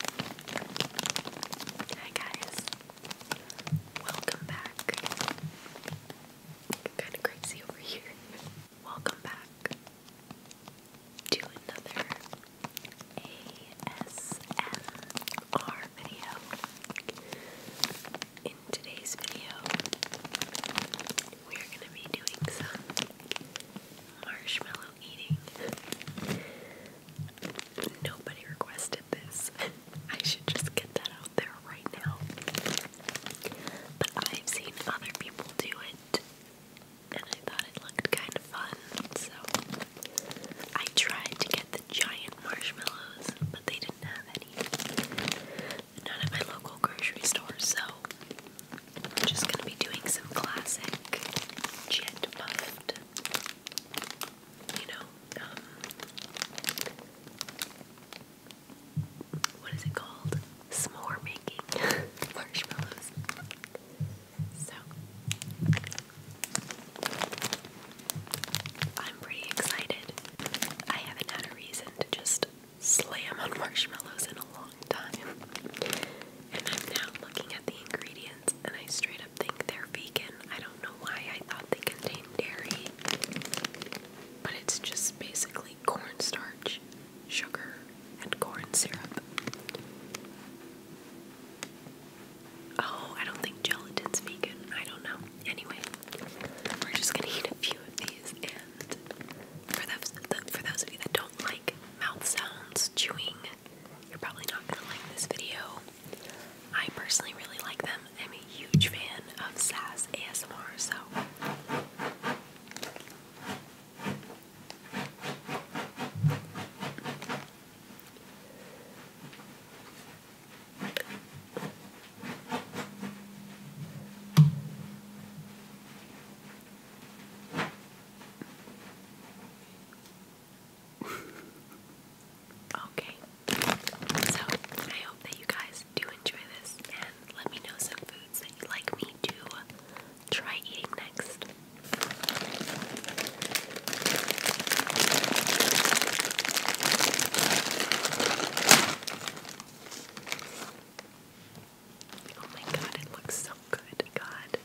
Hi guys, welcome back. Kind of crazy over here. Welcome back to another ASMR video. In today's video, we're gonna be doing some marshmallow Nobody requested this. I should just get that out there right now. But I've seen other people do it, and I thought it looked kind of fun, so I tried to get the giant marshmallows, but they didn't have any. Not at my local grocery store, so I'm just gonna be doing some classic jet puff you know, um, what is it called? S'more making marshmallows. So, I'm pretty excited. I haven't had a reason to just slam on marshmallows in a long time. And I'm now looking at the ingredients and I straight up think they're vegan. I don't know why I thought they contained dairy, but it's just basically corn starch, sugar, and corn syrup. Oh, I don't think gelatin's vegan. I don't know. Anyway, we're just gonna eat a few of these, and for those of you that don't like mouth sounds, chewing, you're probably not gonna like this video. I personally really like them. I'm a huge fan of Sass ASMR, so. Okay, so I hope that you guys do enjoy this and let me know some foods that you like me to try eating next. Oh my god, it looks so good. God.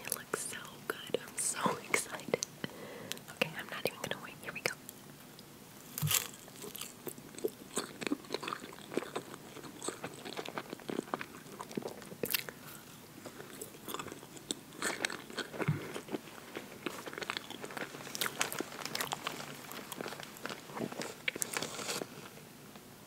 It looks so good. I'm so excited. Okay, I'm not even gonna wait. Here we go.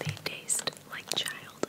They taste like childhood.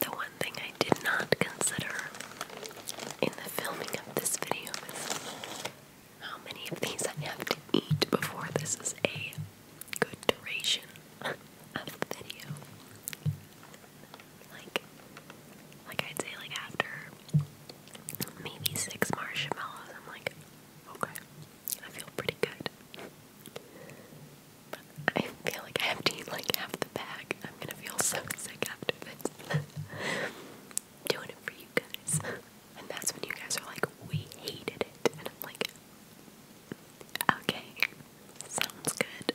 The one thing I did not consider in the filming of this video is how many of these I have to eat before this is a good duration of the video. Like, like I'd say, like after maybe six marshmallows, I'm like, okay, I feel pretty good. But I feel like I emptied like half the bag. I'm gonna feel so sick after this. Doing it for you guys. And that's when you guys are like, we hated it. And I'm like, okay, sounds good.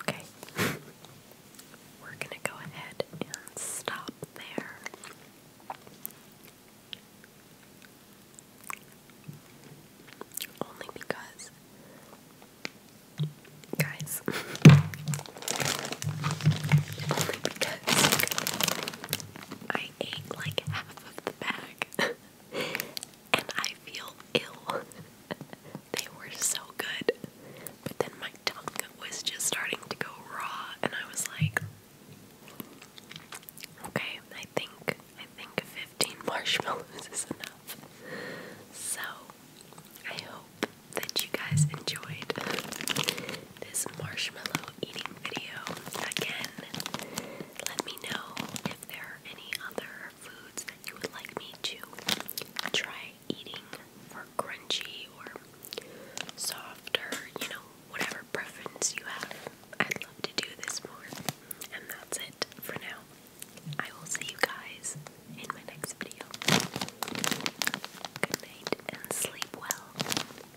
Okay. We're going to go ahead and stop there. Only because, guys, only because I ate like half of the bag. and I feel ill. they were so good. But then my tongue was just starting to go raw and I was like okay, I think I think 15 marshmallows is enough. So I hope that you guys enjoyed this marshmallow eating video again. Let me know if there are any other foods that you would like me to try eating for crunchy or soft you know, whatever preference you have. I'd love to do this more. And that's it for now. I will see you guys in my next video. Good and sleep well.